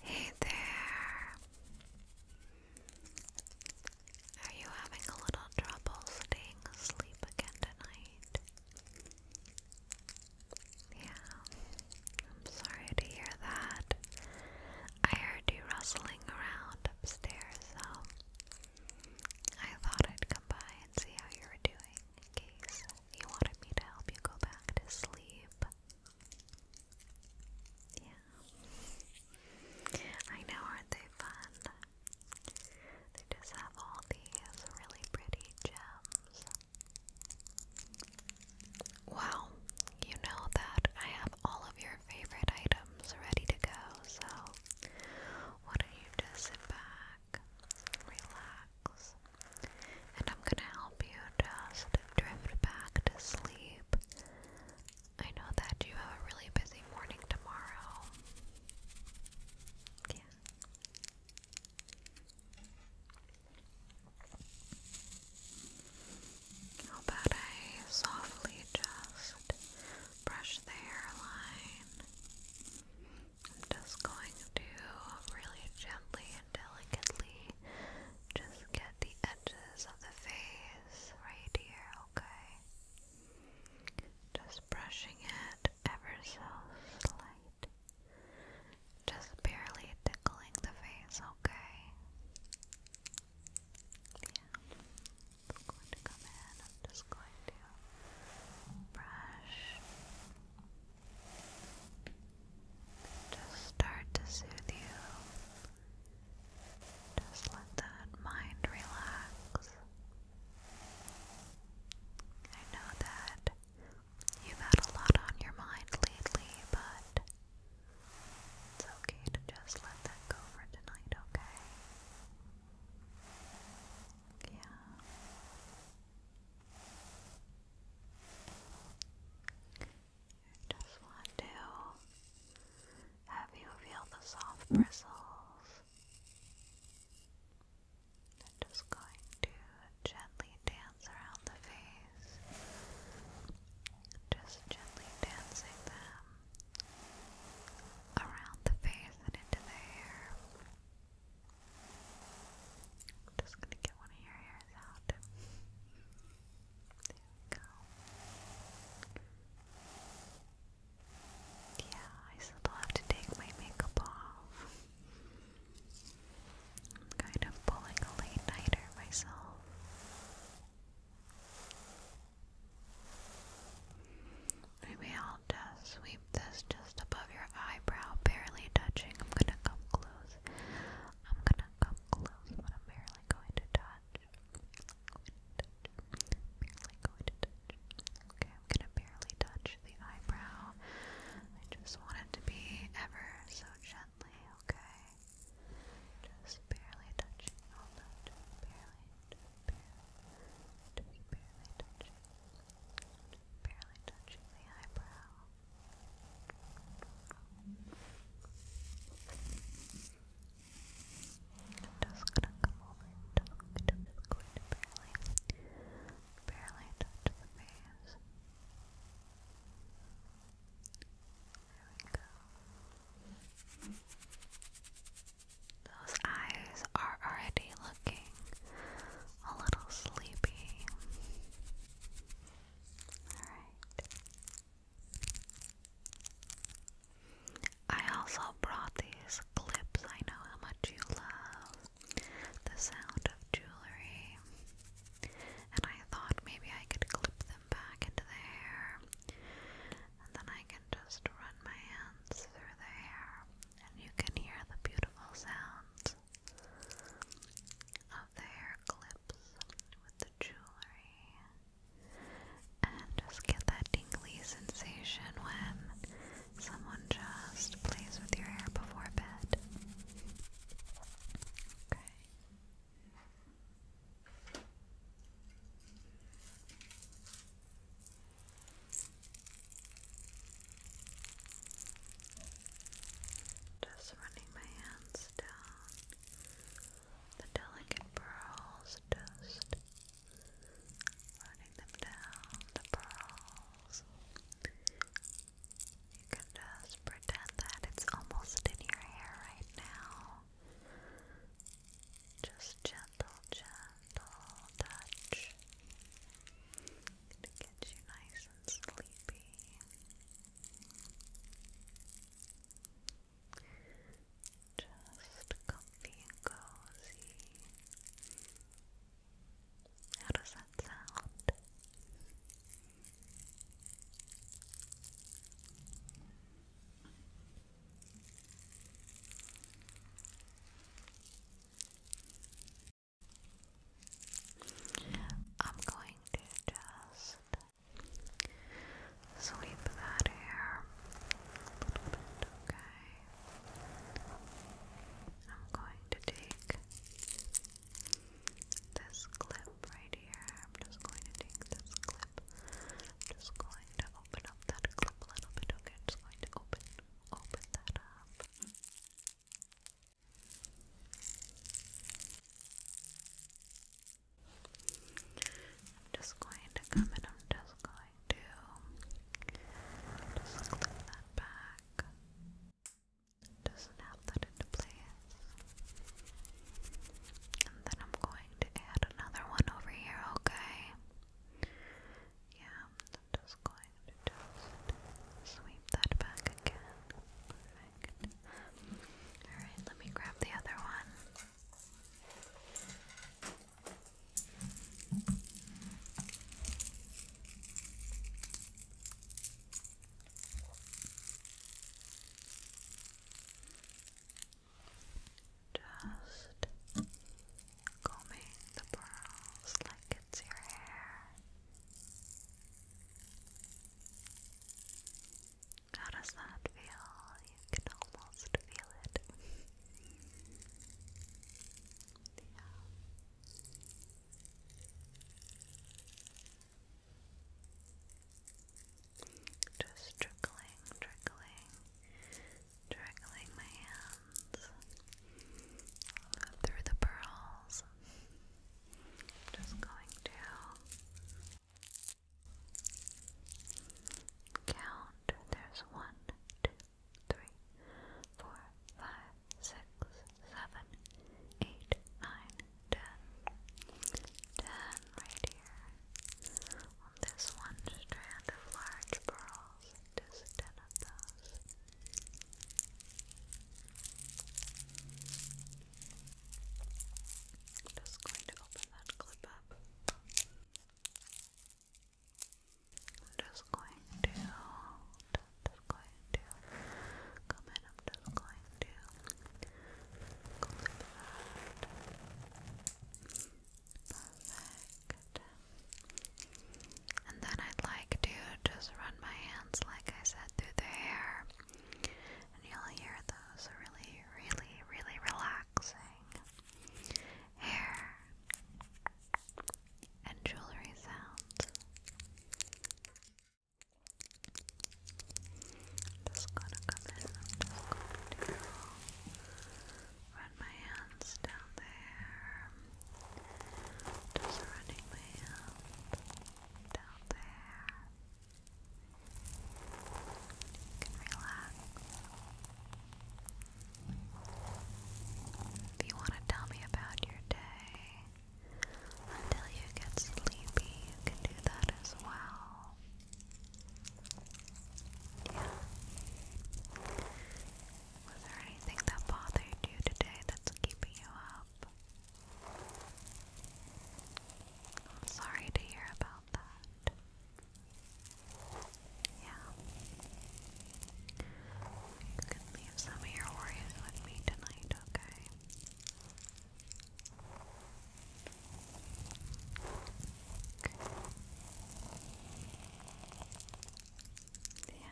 Hey there. Are you having a little trouble staying asleep again tonight? Yeah, I'm sorry to hear that. I heard you rustling around upstairs, so I thought I'd come by and see how you were doing in case you wanted me to help you go back to sleep. Yeah. I know, aren't they fun? They just have all these really pretty gems. Wow, you know that I have all of your favorite items ready to go, so why don't you just sit back, relax, and I'm gonna help you just drift back to sleep. I know that you have a really busy morning tomorrow. How about I softly just brush the hairline? I'm just going to really gently delicately just get the edges of the face right here, okay? Just brushing it ever so slight. Just barely tickling the face, okay? Yeah. I'm going to come in. I'm just going to brush just start to soothe you. Just let that mind relax. I know that you've had a lot on your mind lately, but it's okay to just let that go for tonight, okay? Yeah just want to have you feel the soft bristles. I'm just going to gently dance around the face. Just gently dancing them around the face and into the hair. I'm just gonna get one of your hairs out. There we go. Yeah, I still have to take my makeup off. I'm kind of pulling a late nighter myself. Maybe I'll just sweep this just above your eyebrow, barely touching. I'm gonna come close I'm gonna come close, but I'm barely going to touch. Barely going to touch. Okay, I'm gonna barely touch the eyebrow. I just want it to be ever so gently, okay? Just barely touching, barely, barely, barely barely touching the eyebrow. I'm just gonna come over and just going to barely, barely touch the face. There we go. Those eyes are already looking a little sleepy. I also brought these clips. I know how much you love the sound of jewelry. And I thought maybe I could clip them back into the hair. And then I can just run my hands through the hair. And you can hear the beautiful sounds of the hair clips with the jewelry and just get that tingly sensation when someone just plays with your hair before bed. Okay. Just running my hands down the delicate pearls, just running them down the pearls. You can just pretend that it's almost in your hair right now. Just gentle, gentle touch. It gets you nice and sleepy. Just just comfy and cozy. How does that sound? I'm going to just sweep that hair a little bit, okay? I'm going to take this clip right here. I'm just going to take this clip. just going to open up that clip a little bit, okay? just going to open open that up. I'm just going to come and I'm just going to just clip that back. Doesn't that into place. And then I'm going to add another one over here, okay? Yeah, I'm just going to just sweep that back again. Alright, let me grab the other one. Just combing the pearls like it's your hair. How does that feel? You can almost feel it. Just trickling, trickling, trickling my hands through the pearls. I'm just going to count. There's one, two, three, four, five, six, seven, eight, nine, ten. Ten right here. On this one strand of large pearls. Just ten of those. I'm just going to open that clip up. just going to, just going to come in. I'm just going to clip that. Perfect. And then I'd like to just run my hands, like I said, through the hair. And you'll hear those really, really, really relaxing hair and jewelry sounds. just gonna come in, run my hands down there. Just running my hands down there. You can relax. If you want to tell me about your day until you get sleepy, you can do that as well. Yeah. Was there anything that bothered you today that's keeping you up? I'm sorry to hear about that. Yeah. You can leave some of your worries with me tonight, okay? Yeah.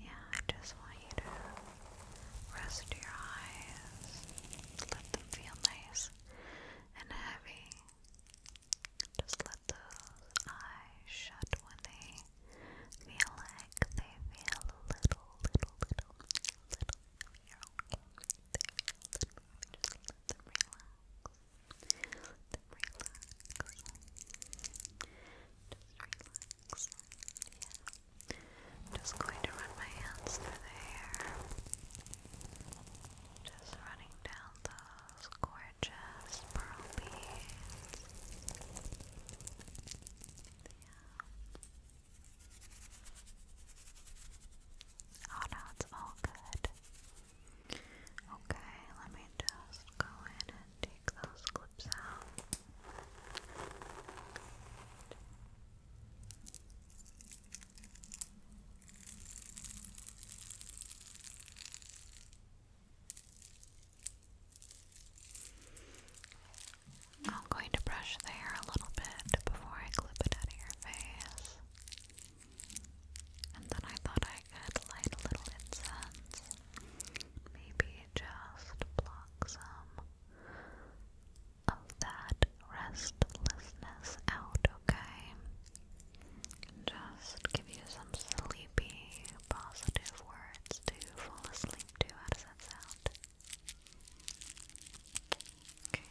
Yeah, I just want you to rest your eyes. Let them feel nice and heavy. Just let those eyes shut when they feel like they feel a little, little, little, little. you They feel little. Just let them relax. Let them relax. Just relax relax. Yeah. I'm just going to run my hands through the hair. Just running down those gorgeous pearl beads. Yeah. Oh no, it's all good. Okay, let me just go in and take those clips out. I'm going to brush the hair a little bit before I clip it out of your face. And then I thought I could light a little incense. Maybe just block some um, of that restlessness out, okay? Just give you some sleepy, positive words to fall asleep to. How does that sound? Okay.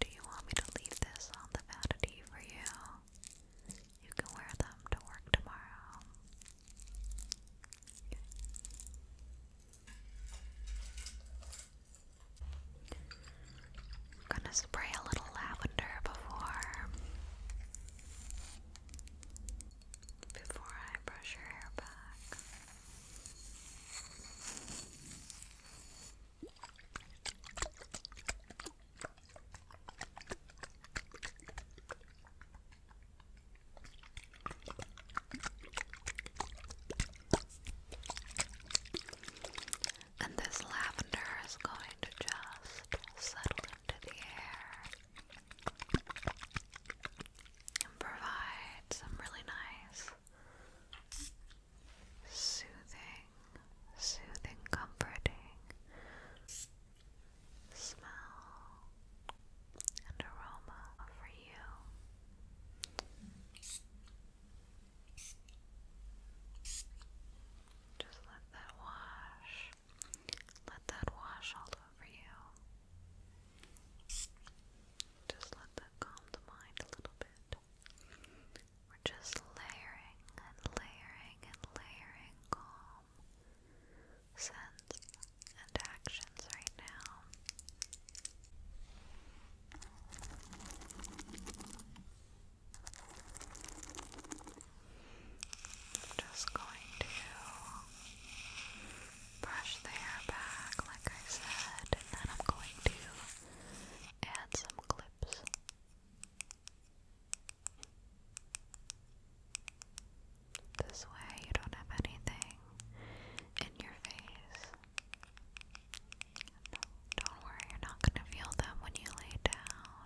Do you want me to leave this on the vanity for you? You can wear them to work tomorrow. gonna spray a little lavender before before I brush your hair back. And this lavender is going to just settle into the air and provide some really nice soothing soothing, comforting smell and aroma for you. Just let that wash. Let that wash all over you. Just let that calm the mind a little bit. We're just layering and layering and layering calm sense and actions right now. I'm just going to brush the hair back, like I said, and then I'm going to add some clips this way, you don't have anything in your face. Don't worry, you're not going to feel them when you lay down.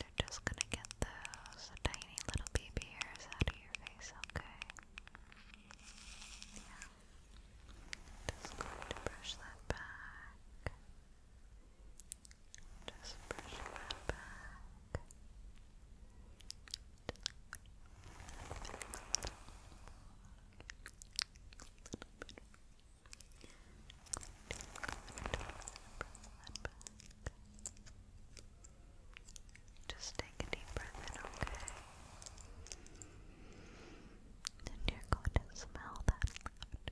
They're just going to get those tiny little baby hairs out of your face, okay? Yeah. Just going to brush that back. Just push my back. Just take a deep breath in, okay? And you're going to smell that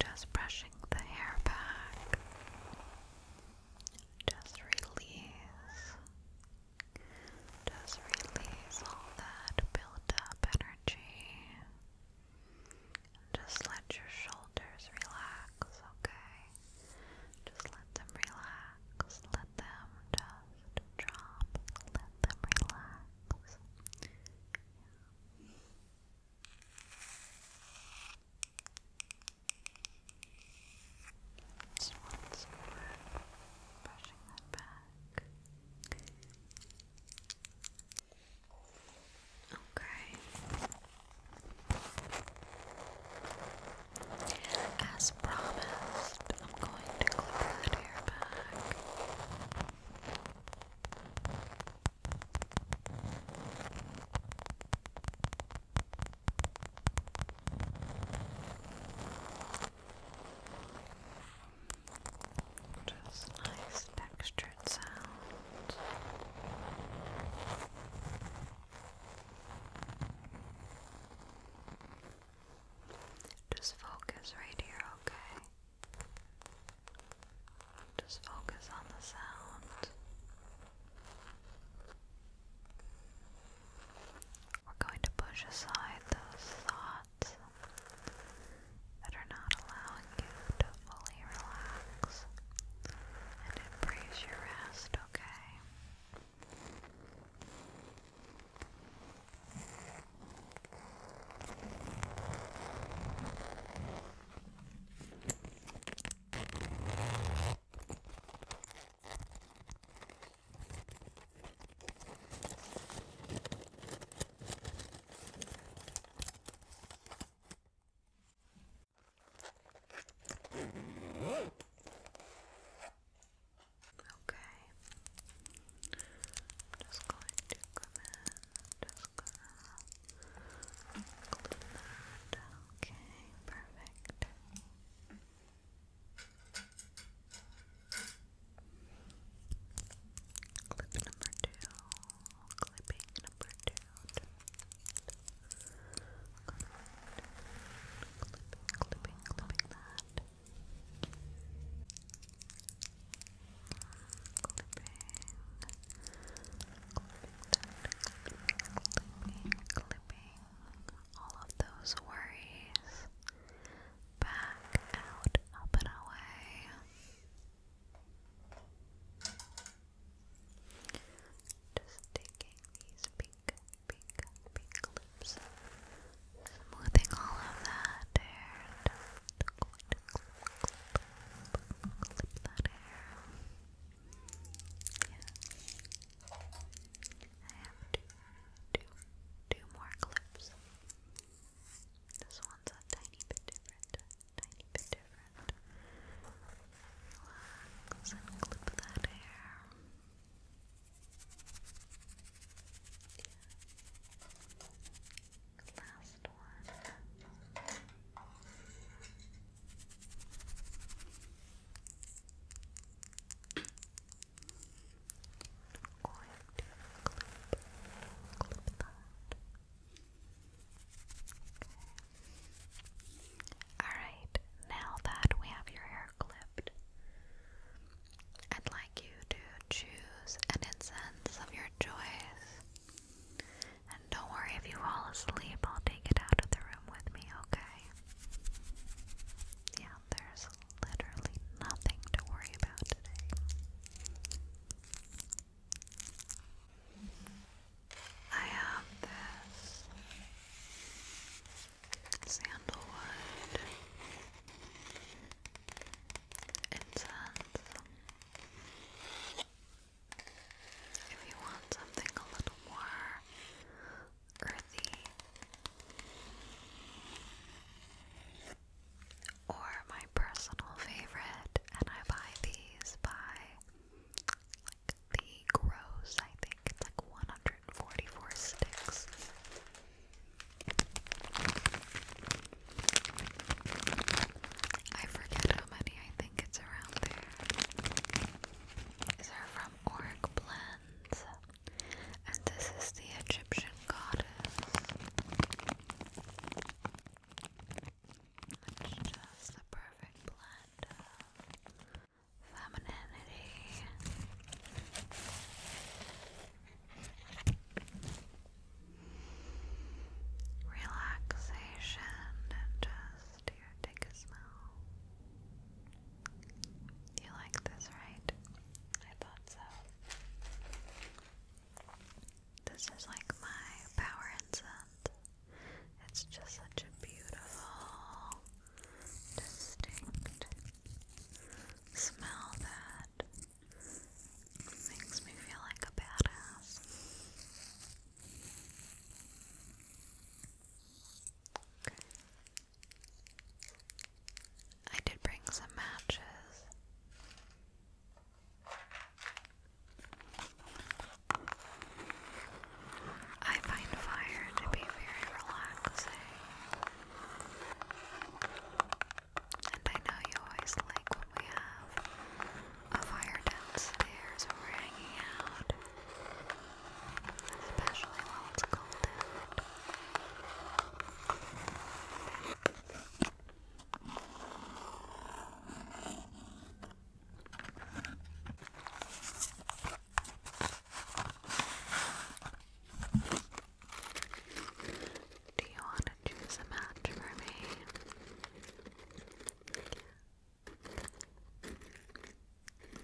Just brushing the hair back. Just release. Just release all that built up energy. Just let your shoulders relax, okay? Just let them relax. Let them just drop. Let them relax. Yeah. Just once more, brushing that back. Okay. As promised, I'm going to clip that hair back. Just nice textured sounds. Just focus right here, okay? Just focus on the sound. We're going to push aside those thoughts that are not allowing you to fully relax and embrace your rest, okay? Okay. I'm just going to come in mascara. Include that. Okay, perfect. Clip number two. Clipping number two. Good. Clipping, clipping, clipping that clipping, clipping all of those worries back out, up and away. Just taking these pink, pink, pink clips, smoothing all of that and clip that hair. Yeah. I have two, two, two more clips. This one's a tiny bit different. Tiny bit different. Relax and clip that hair. Yeah last one. Alright, now that we have your hair clipped, I'd like you to choose an incense of your choice. And don't worry if you fall asleep, I'll take it out of the room with me, okay? Yeah, there's literally nothing to worry about today. I have this sandalwood incense. If you want something a little more earthy or my personal favorite, and I buy these by the gross, I think it's like 144 sticks. I forget how many, I think it's around there. These from Org Blends. And this is the Egyptian goddess. Which does the perfect blend of femininity relaxation and just take a smell. You like this, right? I thought so. This is like my power incense. It's just such a beautiful, distinct smell that Makes me feel like a badass. I did bring some matches. I find fire to be very relaxing. And I know you always like when we have a fire downstairs rang out, especially while it's cold out. Do you want to choose a match for me?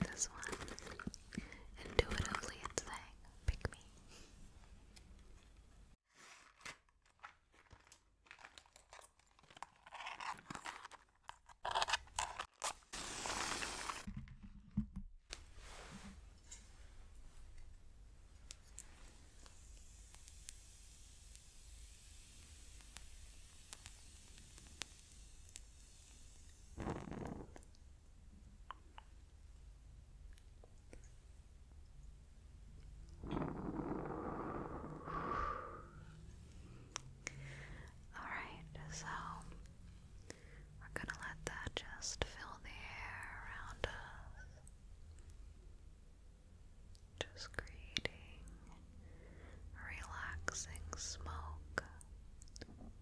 This one. Intuitively it's saying, pick me. All right, so we're going to let that just fill the air around us just creating relaxing smoke,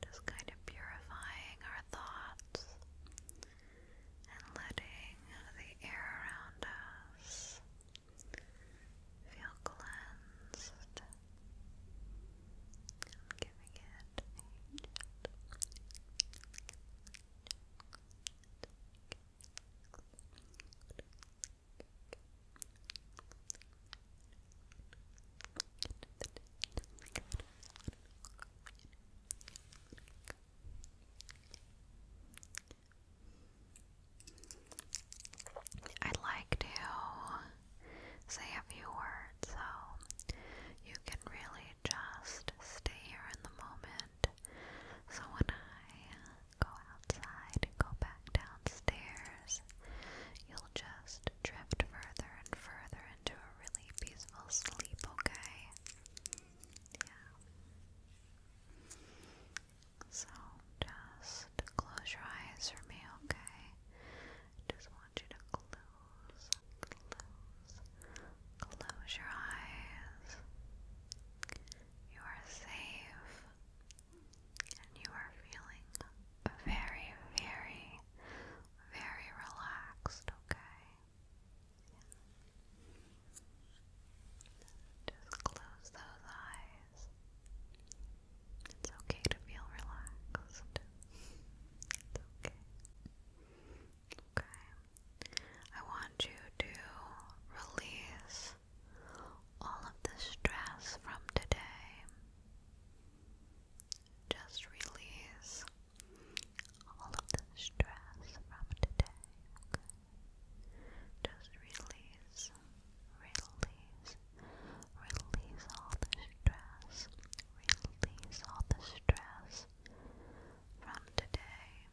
just kind of purifying our thoughts and letting the air around us feel cleansed. giving it I'd like to say a few words so you can really just stay here in the moment. So when I go outside go back downstairs, you'll just drift further and further into a really peaceful sleep, okay? Yeah. So just close your eyes for me, okay? Just want you to close, close, close your eyes. You are safe and you are feeling very, very, very relaxed, okay? Just close those eyes. It's okay to feel relaxed. It's okay. Okay. I want you to release all of the stress from today. Just release all of the stress from today. Just release, release, release all the stress, release all the stress from today.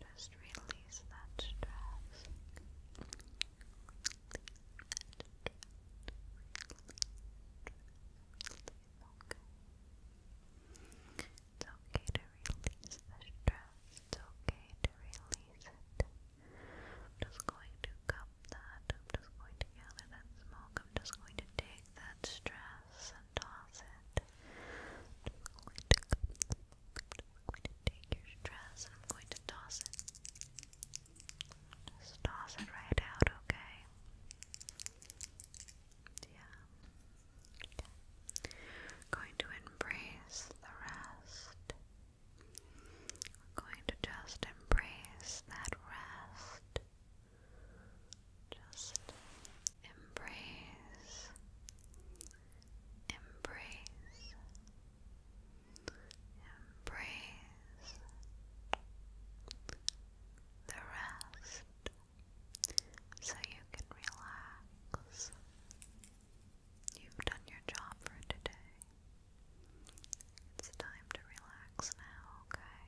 Just release that stress. It's okay to release the stress. It's okay to release it. I'm just going to cup that. I'm just going to gather that smoke. I'm just going to take that stress and toss it I'm going to take your stress and I'm going to toss it. toss it right out, okay? Yeah. Going to embrace the rest. going to just embrace that rest. Just embrace embrace, embrace the rest so you can relax. You've done your job for today. It's time to relax now, okay?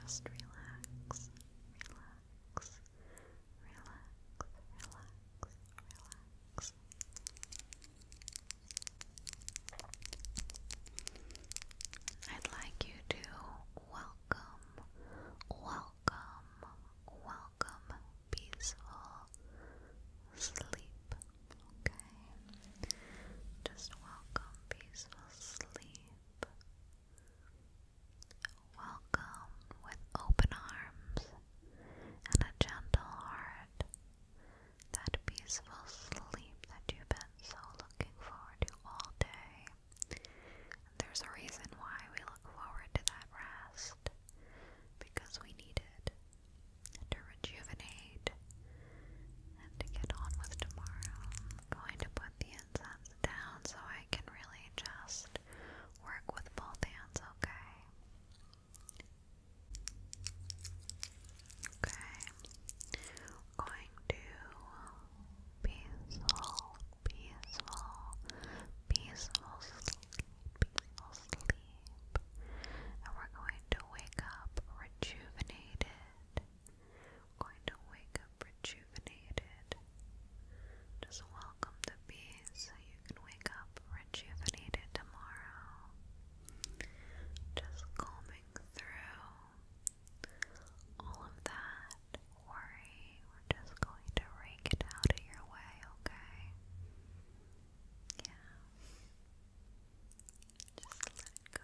Just relax relax, relax, relax. I'd like you to welcome, welcome, welcome peaceful sleep. Okay? Just welcome peaceful sleep. Welcome with open arms and a gentle heart. That peaceful sleep that you've been so looking forward to all day. there's a reason why we look forward to that rest. Because we need it to rejuvenate and to get on with tomorrow. going to put the inside down so I can really just work with both hands, okay? Okay. going to peaceful, peaceful, peaceful sleep, peaceful sleep. And we're going to wake up rejuvenated going to wake up rejuvenated. Just welcome the bees so you can wake up rejuvenated tomorrow. Just combing through all of that worry. We're just going to rake it out of your way, okay? Yeah. Just let go.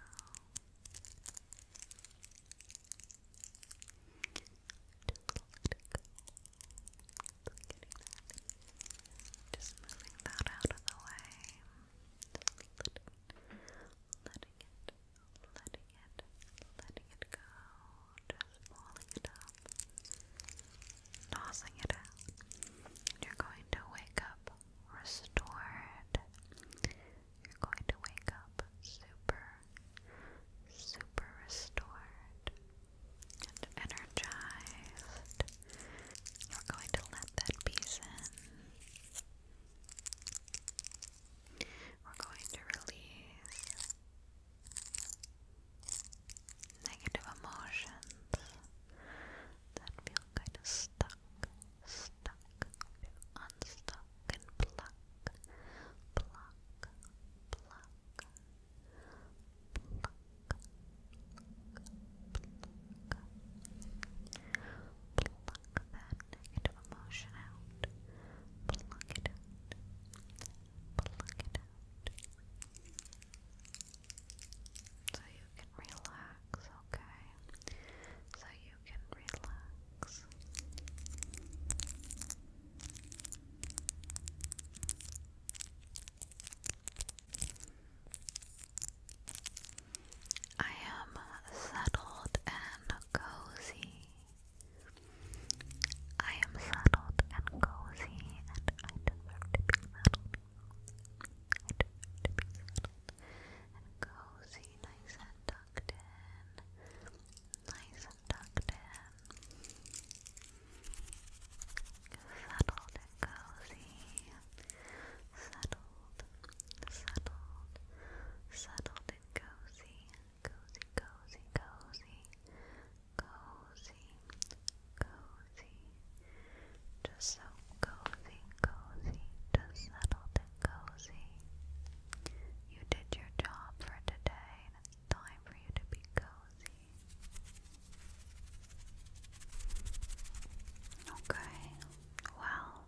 Just moving that out of the way. Just letting it, letting it, letting it go. Just pulling it up, tossing it out. You're going to wake up restored, you're going to wake up super, super restored and energized. You're going to let that peace in. We're going to release negative emotions that feel kind of stuck, stuck, unstuck and pluck, pluck, pluck, pluck, pluck, pluck, pluck that negative emotion out, pluck it out, pluck it out, so you can relax, okay? So you I am settled and cozy. I am settled and cozy, and I deserve to be settled. I deserve to be settled and cozy, nice and tucked in, nice and tucked in, settled and cozy, settled, settled, settled and cozy, cozy, cozy, cozy, cozy, cozy, just so cozy, cozy, just settled cozy. You did your job for today, and it's time for you to be cozy. Okay, well,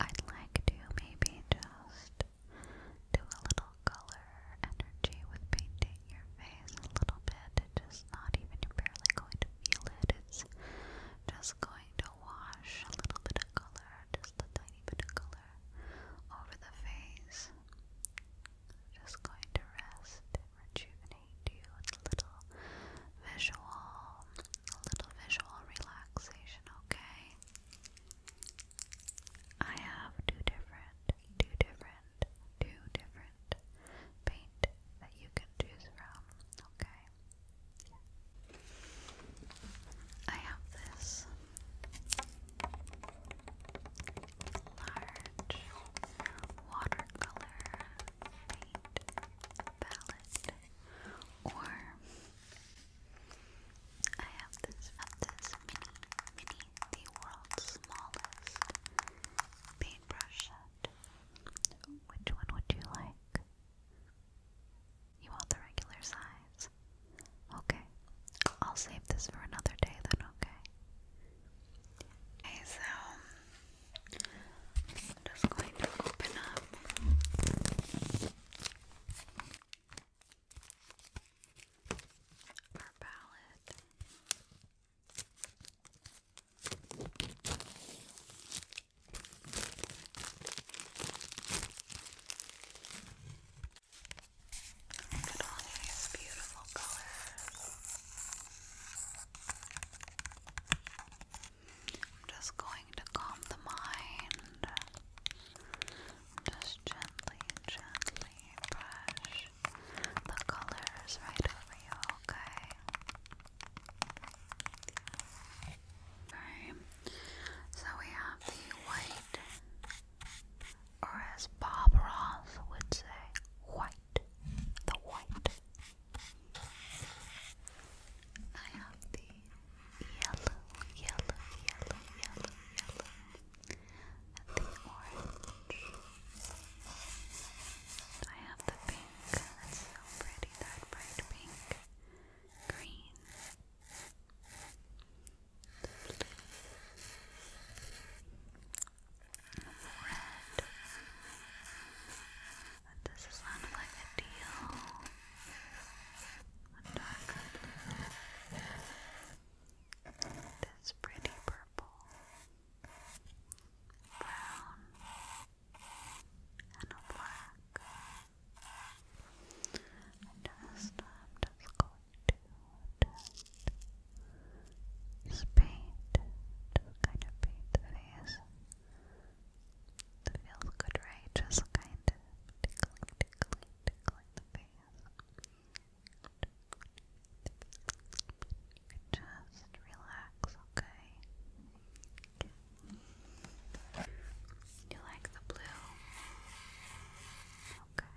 I'd like to maybe just do a little color energy with painting your face a little bit. just not even, barely going to feel it. It's just going to wash a little bit of color, just a tiny bit of color over the face. Just going to rest rejuvenate you a little visual, a little visual relaxation, okay? I have two different, two different, two different paint that you can choose from, okay? I have this large watercolor paint palette, or I have this this mini, mini, the world's smallest paintbrush set. Which one would you like? You want the regular size? Okay. I'll save this for another day then, okay? Okay, so I'm just going to open up. Our palette. Look at beautiful colors. I'm just going to calm the mind. Just gently, gently brush the colors right over you, okay? Okay. So we have the white, or as Bob Ross would say, white, the white. I have the yellow, yellow, yellow, yellow, yellow, and the orange. I have the pink, that's so pretty, that bright pink, green, Red. this sound like a deal? A pretty purple. Brown. And black. And just, I'm just going to just paint, kind of paint the face. It feels good, right? Just kind of tickling, tickling, tickling the face. Just relax, okay? You like the blue? Okay.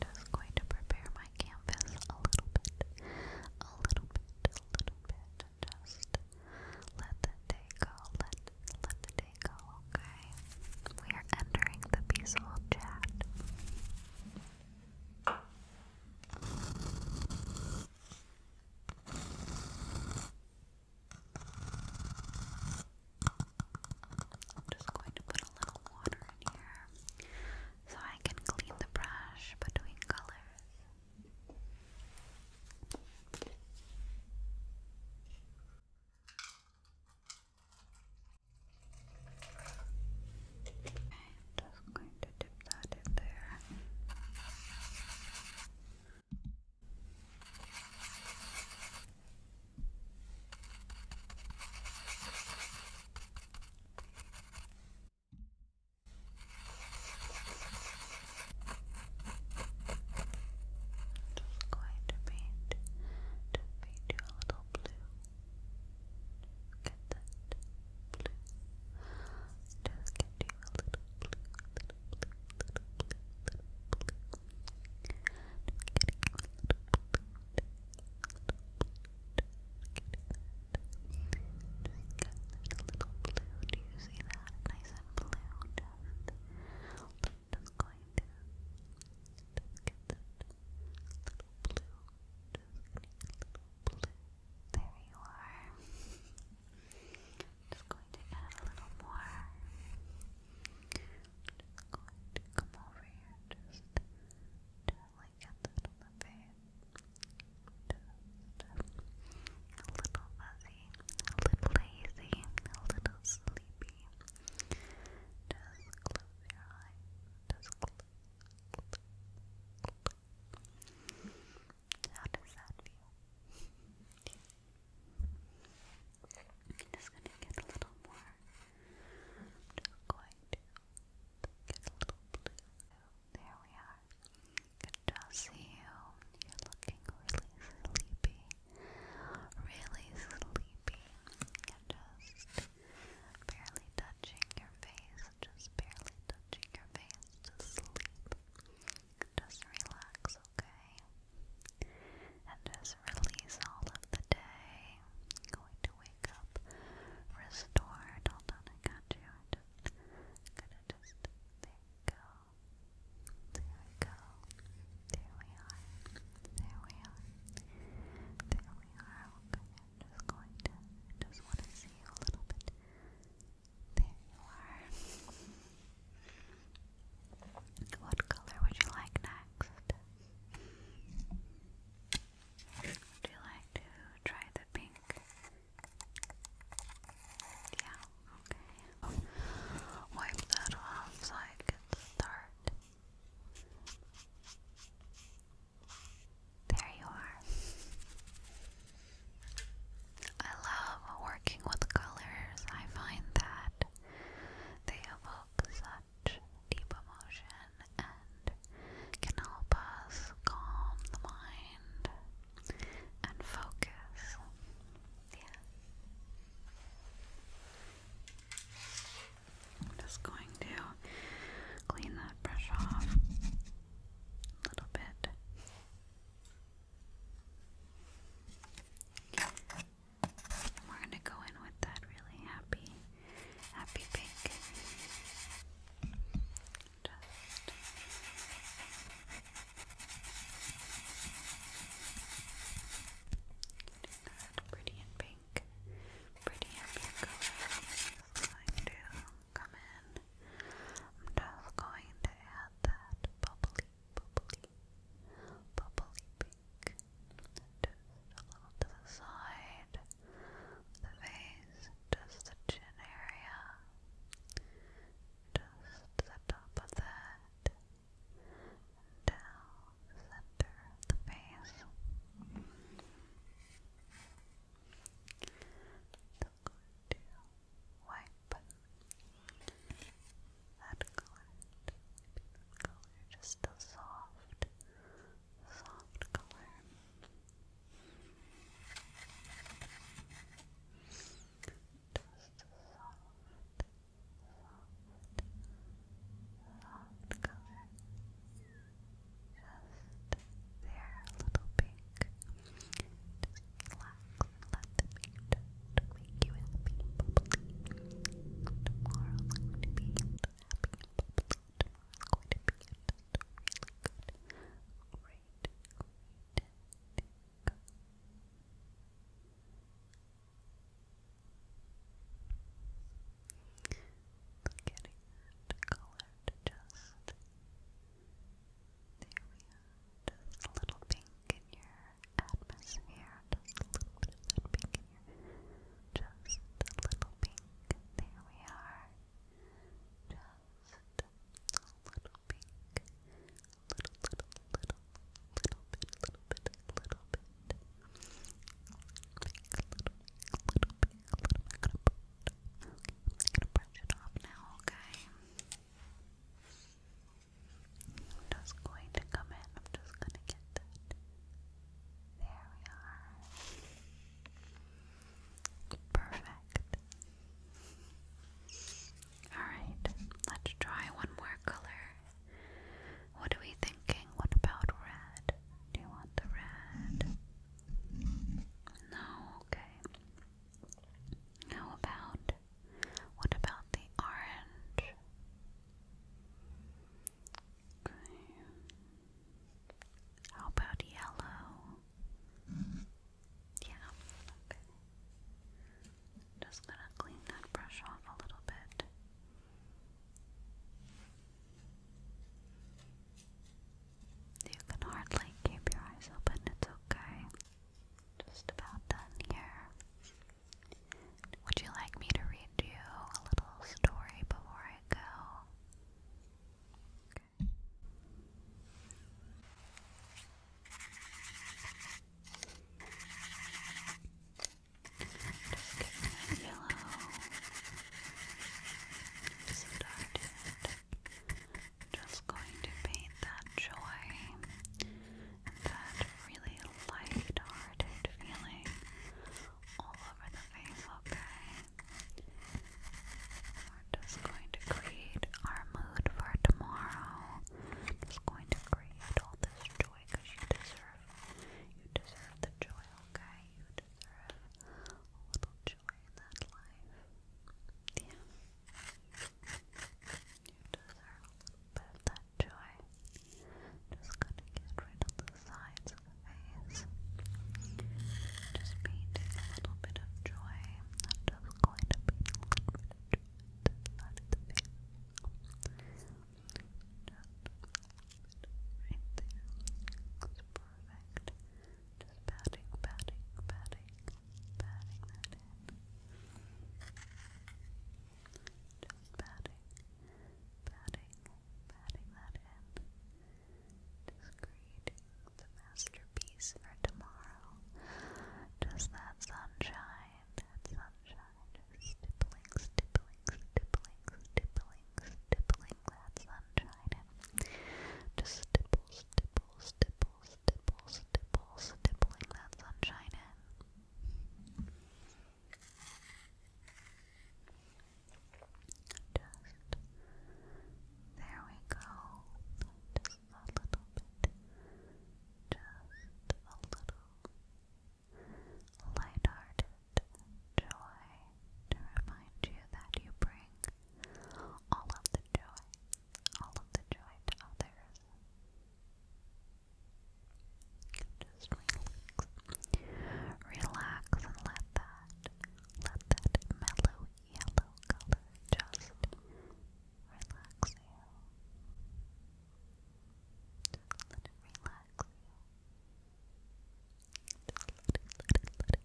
just going to prepare my canvas a little bit, a little bit, a little bit. Just let the day go, let, let the day go, okay? We are entering the peaceful chat. I'm just going to put a little water in here so I can clean the brush between colors just going to dip that in there. Just going to paint, just paint you a little blue. Get that blue. Just give you a little blue, little blue, little blue, little blue. Just give you a little blue, little blue. Just give it a little blue. Do you see that? Nice and blue. Just, just going to just get that little blue. Just getting a little blue. There you are. I'm just going to add a little more. Just going to come over here, just gently get that on the face. Just a little fuzzy, a little lazy, a little sleepy. Just close your eyes. Just close. How does that feel? just gonna get a little more. Just going to get a little blue. There we are. Good you. You're looking really sleepy. Really sleepy. you just barely touching your face. Just barely touching your face to sleep. Just relax, okay? And just release all of the day. Going to wake up restored. Hold on, I got you. gonna just there we go. There we go. There we are. There we are. There we are. Okay, just going to just want to see a little bit. There you are. What color would you like next? Would you like to try the pink? Yeah, okay. Wipe that off so I can start. There you are. I love working with colors. I find that they evoke such deep emotion and can help us calm the mind and focus. Yeah. I'm just going to clean that brush off a little bit. And we're gonna go in with that really happy, happy pink. Just pretty and pink, pretty happy color. This line too come in. I'm just going to add that bubbly, bubbly, bubbly pink just a little to the side, the face, just the chin area, just the top of that, down center the face going to that color, color, just a soft, soft color. Just a soft, soft, soft color. Just there, a little bit. Just relax and let the paint make you happy Tomorrow's going to be happy and going to be just Getting that color just there we are. Just a little pink in your atmosphere. Just a little bit of that pink in your. Just a little pink. There we are. Just a little pink. Little, little, little, little bit, little bit, little bit. Pink, little, little pink, little bit. I'm gonna brush it off now, okay? I'm just going to come in. I'm just going to get that. There we are. Perfect. Alright, let's try one more color. What are we thinking? What about red? Do you want the red? No, okay. How about what about the orange? How about yellow? Yeah, Just gonna clean that brush off a little bit. You can hardly keep your eyes open, it's okay just about done here. Would you like me to read you a little story before I go? Okay. yellow started. Just going to paint that joy that really light-hearted feeling all over the face, okay? We're just going to create our mood for tomorrow. Just going to create all this joy because you deserve you deserve the joy, okay? You deserve a little joy that life. Yeah. You deserve a bit of that joy. Just gonna get rid of the sides of the face. Just painting a little bit of joy. I'm just going to paint a little bit of joy to the the face. Just right there. It's perfect. Just patting, patting, patting patting that in. Just patting, patting, patting that in. Just creating the masterpiece for tomorrow. Just that sunshine, that sunshine, just stippling, stippling, stippling, stippling, stippling that sunshine in. Just stipple, stipple dimples, dimples, dimples, dimples, that sunshine in. Just there we go. Just a little bit. Just a little light-hearted joy to remind you that you bring all of the joy all of the joy to others. Just relax. and let that, let that mellow yellow color just relax you. Just let it relax you. Just let it, let it, let it.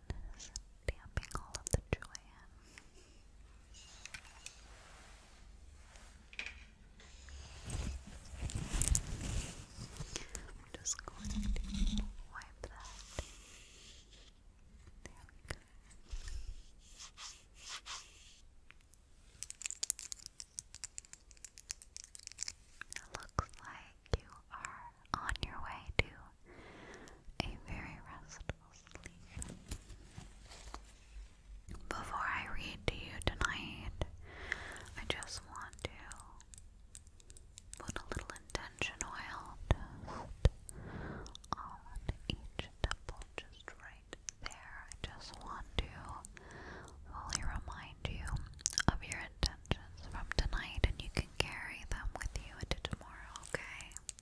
damping all of the joy I'm just going to wipe that. There we go. It looks like you are on your way to a very restful sleep. Before I read to you tonight, I just want to put a little intention oil just on each temple, just right there. I just want to fully remind you of your intentions from tonight, and you can carry them with you into tomorrow, okay? I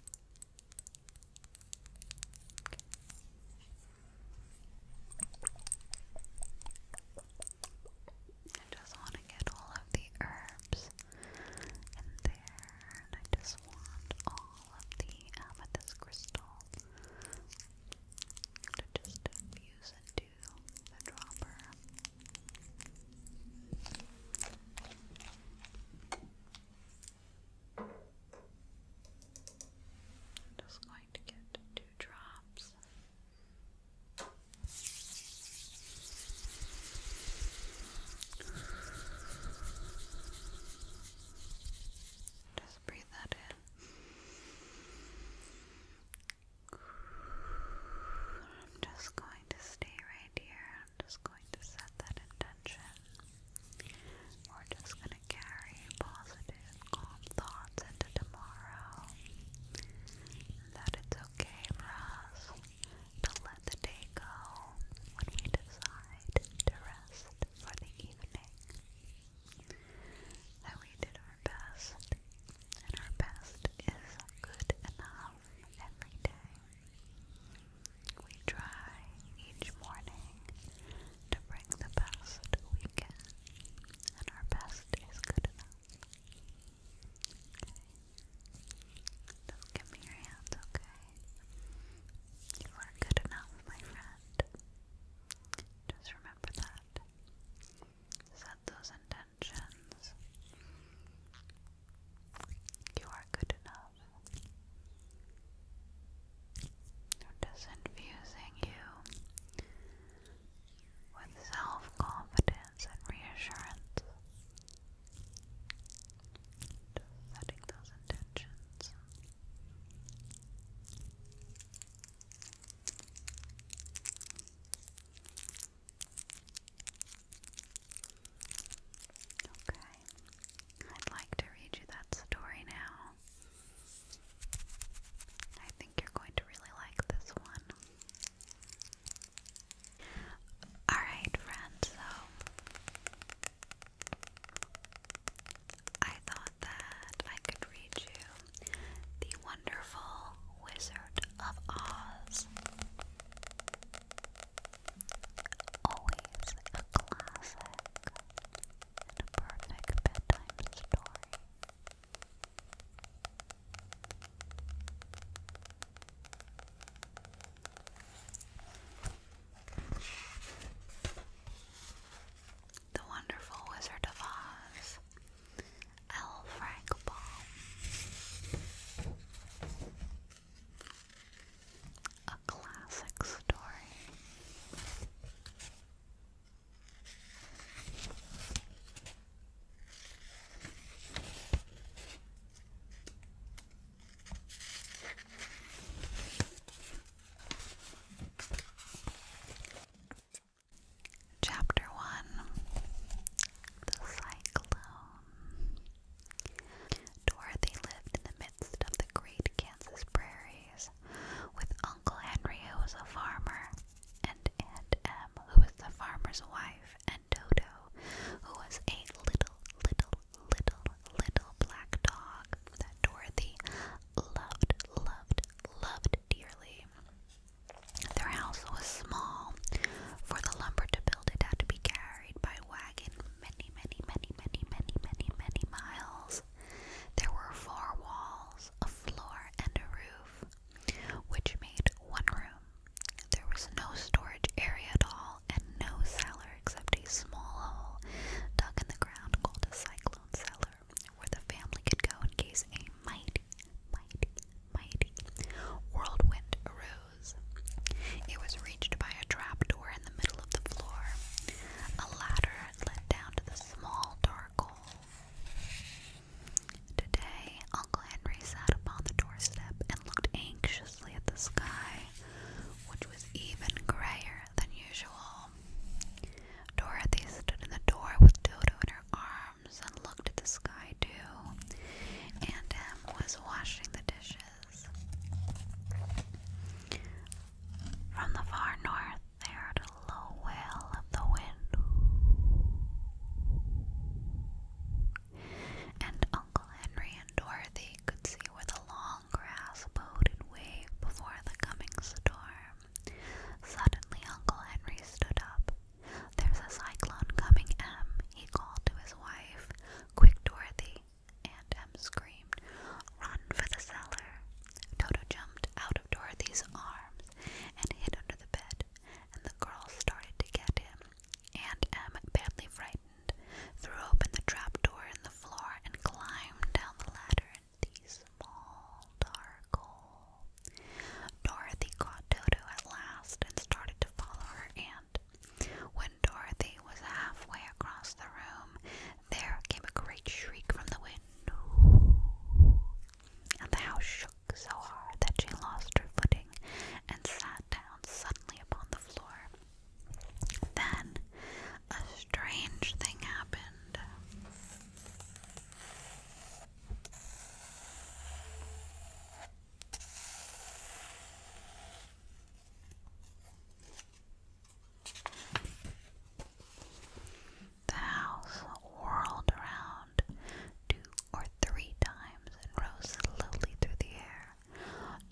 just want to get all of the herbs in there, and I just want all of the amethyst crystal to just infuse into the dropper i just going to get two drops. Just breathe that in. I'm just going to stay right here just going to set that intention. We're just going to carry positive, calm thoughts into tomorrow. That it's okay for us to let the day go when we decide to rest for the evening. That we did our best, and our best is good enough every day. We try each morning to bring the best we can, and our best is good enough. Just give me your hands, okay? You are good enough, my friend. Just remember that. Set those intentions. You are good enough. You're just infusing you with self confidence and reassurance. setting those intentions. Okay, I'd like to read you that story now. I think you're going to really like this one. Alright, friends, so I thought that I could read you The Wonderful Wizard of Oz. Always a classic and perfect bedtime story. The Wonderful Wizard of Oz, L. Frank Baum. A classic story. Chapter 1 The Cyclone Dorothy lived in the midst of the great Kansas prairies with Uncle Henry, who was a farmer, and Aunt Em, who was the farmer's wife, and Dodo, who was a little, little, little, little black dog that Dorothy loved, loved, loved dearly. Their house was small. For the lumber to build it had to be carried by wagons wagon many, many, many, many, many, many, many miles. There were four walls, a floor, and a roof, which made one room. There was no storage area at all, and no cellar except a small hole dug in the ground called a cyclone cellar, where the family could go in case a mighty, mighty, mighty whirlwind arose. It was reached by a trapdoor in the middle of the floor. A ladder led down to the small dark hole. Today, Uncle Henry sat upon the doorstep and looked anxiously at the sky, which was even grayer than usual. Dorothy stood in the door with Dodo in her arms and looked at the sky too. Aunt Em was washing the dishes. From the far north, they heard a low wail of the wind, and Uncle Henry and Dorothy could see where the long grass bowed in wave before the coming storm. Suddenly, Uncle Henry stood up. There's a cyclone coming, Em, he called to his wife. Quick Dorothy! Aunt Em screamed. Run for the cellar! Toto jumped out of Dorothy's arms and hid under the bed, and the girls started to get him. Aunt Em, badly frightened, threw open the trap door in the floor and climbed down the ladder into the small, dark hole. Dorothy caught Toto at last and started to follow her aunt. When Dorothy was halfway across the room, there came a great shriek from the wind, and the house shook so hard that she lost her footing and sat down suddenly upon the floor. Then a strange thing happened. The house whirled around two or three times and rose slowly through the air.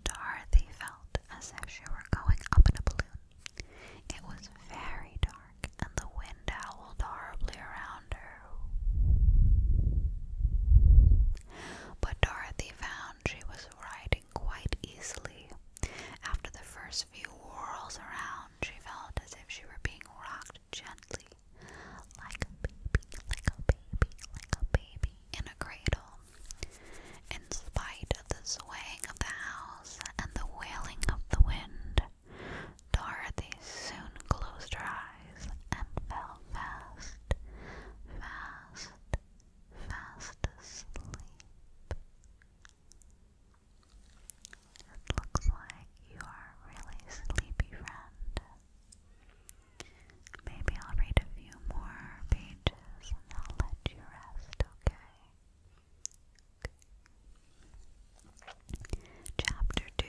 Dorothy felt as if she were going up in a balloon. It was very dark, and the wind howled horribly around her. But Dorothy found she was riding quite easily. After the first few whirls around, she felt as if she were being rocked gently, like a baby, like a baby, like a baby in a cradle. In spite of the swaying of the house and the wailing of the wind, Dorothy soon closed her eyes and fell fast, fast fast, fast asleep. It looks like you are really sleepy, friend. Maybe I'll read a few more pages and I'll let you rest, okay? Chapter 2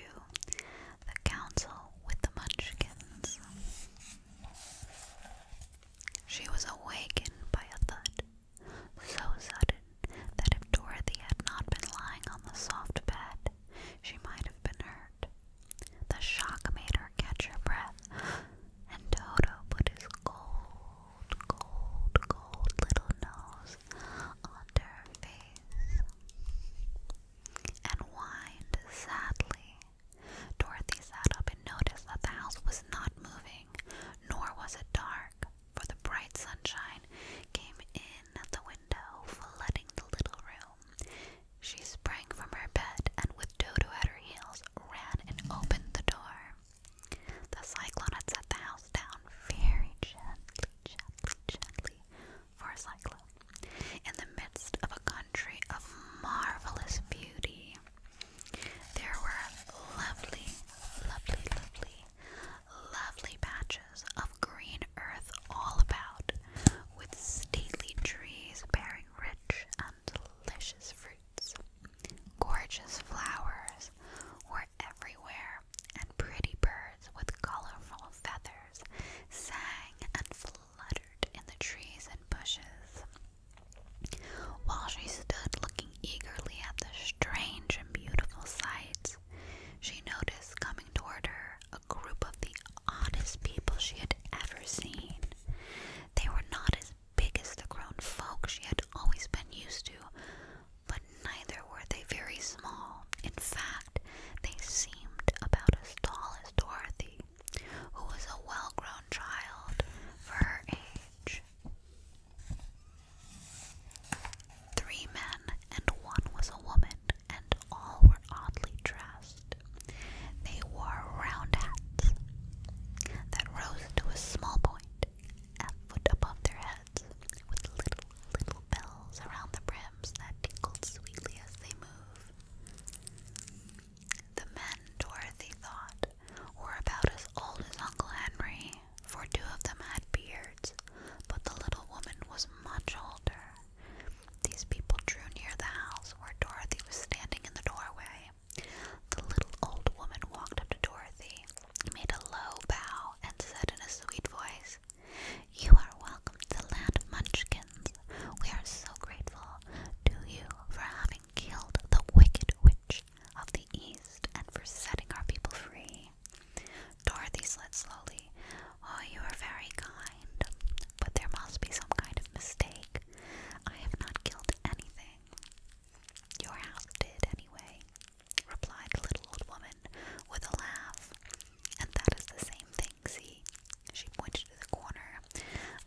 The Council with the Munchkins. She was awakened by a thud, so sudden that if Dorothy had not been lying on the soft bed, she might have been hurt. The shock made her catch her breath, and Toto put his cold, cold, cold little nose under her face and whined sadly. Dorothy sat up and noticed that the house was not moving, nor was it dark, for the bright sunshine came in at the window, flooding the little room. She sprang from her bed and, with Dodo at her heels, ran and opened the door. The cyclone had set the house down very gently, gently, gently, for a cyclone. In the midst of a country of marvelous beauty, there were lovely, lovely, lovely, lovely patches of green earth all about, with stately trees bearing rich and delicious fruits. Gorgeous flowers were everywhere, and pretty birds with colorful feathers sang and flew fluttered in the trees and bushes. While she stood looking eagerly at the strange and beautiful sights, she noticed coming toward her a group of the oddest people she had ever seen. They were not as big as the grown folk she had always been used to, but neither were they very small. In fact, they seemed about as tall as Dorothy, who was a well grown child for her age. Three men and one was a woman, and all were oddly dressed. They wore round hats that rose to a small point at foot above their heads, with little, little bells around the brims that tinkled sweetly as they moved. The men, Dorothy thought, were about as old as Uncle Henry, for two of them had beards, but the little woman was much older. These people drew near the house where Dorothy was standing in the doorway. The little old woman walked up to Dorothy, made a low bow, and said in a sweet voice, You are welcome the land of Munchkins, we are so grateful to you for having killed the wicked witch of the East and for setting our people free. Dorothy said slowly. Oh, you are very kind, but there must be some kind of mistake. I have not killed anything. Your house did, anyway, replied the little old woman with a laugh. And that is the same thing, see? She pointed to the corner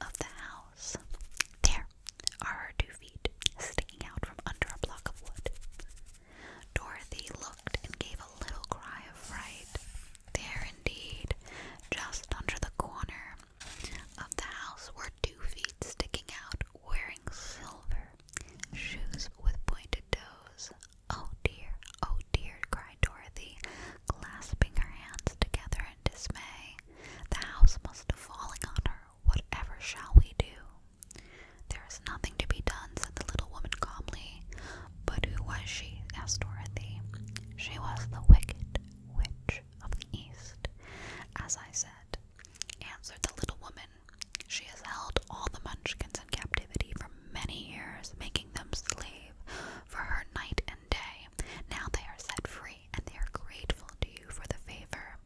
of the house. There are her two feet sticking out from under a block of wood. Dorothy looked and gave a little cry of fright. There, indeed, just under the corner of the house were two feet sticking out, wearing silver shoes with pointed toes. Oh dear, oh dear, Cried. Dorothy, clasping her hands together in dismay. The house must have fallen on her. Whatever shall we do? There is nothing to be done, said the little woman calmly. But who was she? asked Dorothy. She was the wicked witch of the east, as I said, answered the little woman. She has held all the munchkins in captivity for many years, making them slave for her night and and Now they are set free, and they are grateful to you for the favor.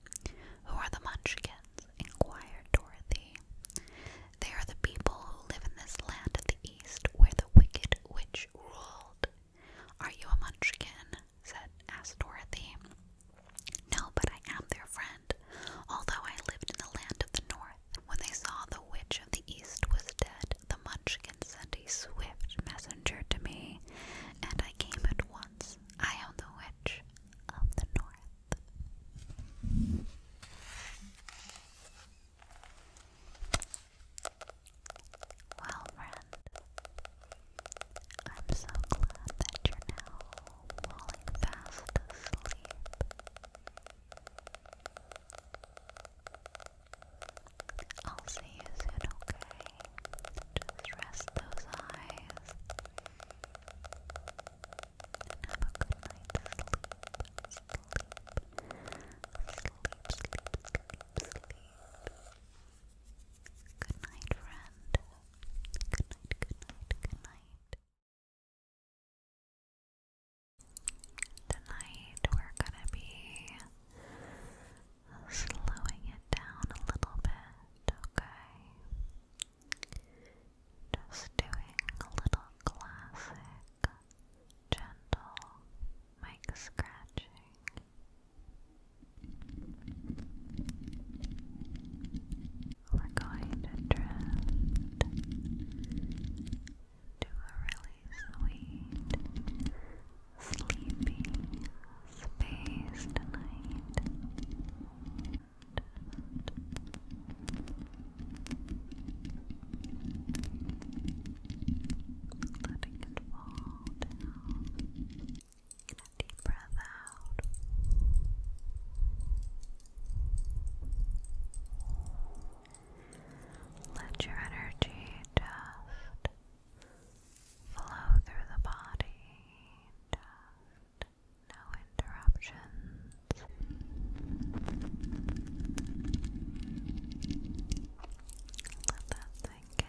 Who are the Munchkins? inquired Dorothy. They are the people who live in this land of the east where the wicked witch ruled. Are you a Munchkin? said asked Dorothy. No, but I am their friend, although I lived in the land of the north. When they saw the witch of the east was dead, the Munchkin sent a swift messenger to me, and I came at once. I am the witch of the north. Well, friend, I'm so glad that you're now falling fast asleep. I'll see you soon, okay? Just rest those eyes. have a good night's sleep. Sleep. Sleep, sleep, sleep, sleep. Good night, friend. Good night, good night, good night. Tonight we're gonna be slowing it down a little bit, okay? Just doing a little classic, gentle mic scratching. We're going to drift to a sweet, sleepy, space tonight. Letting it fall down. deep breath out. Let your energy just flow through the body, no interruptions. Let that sink in.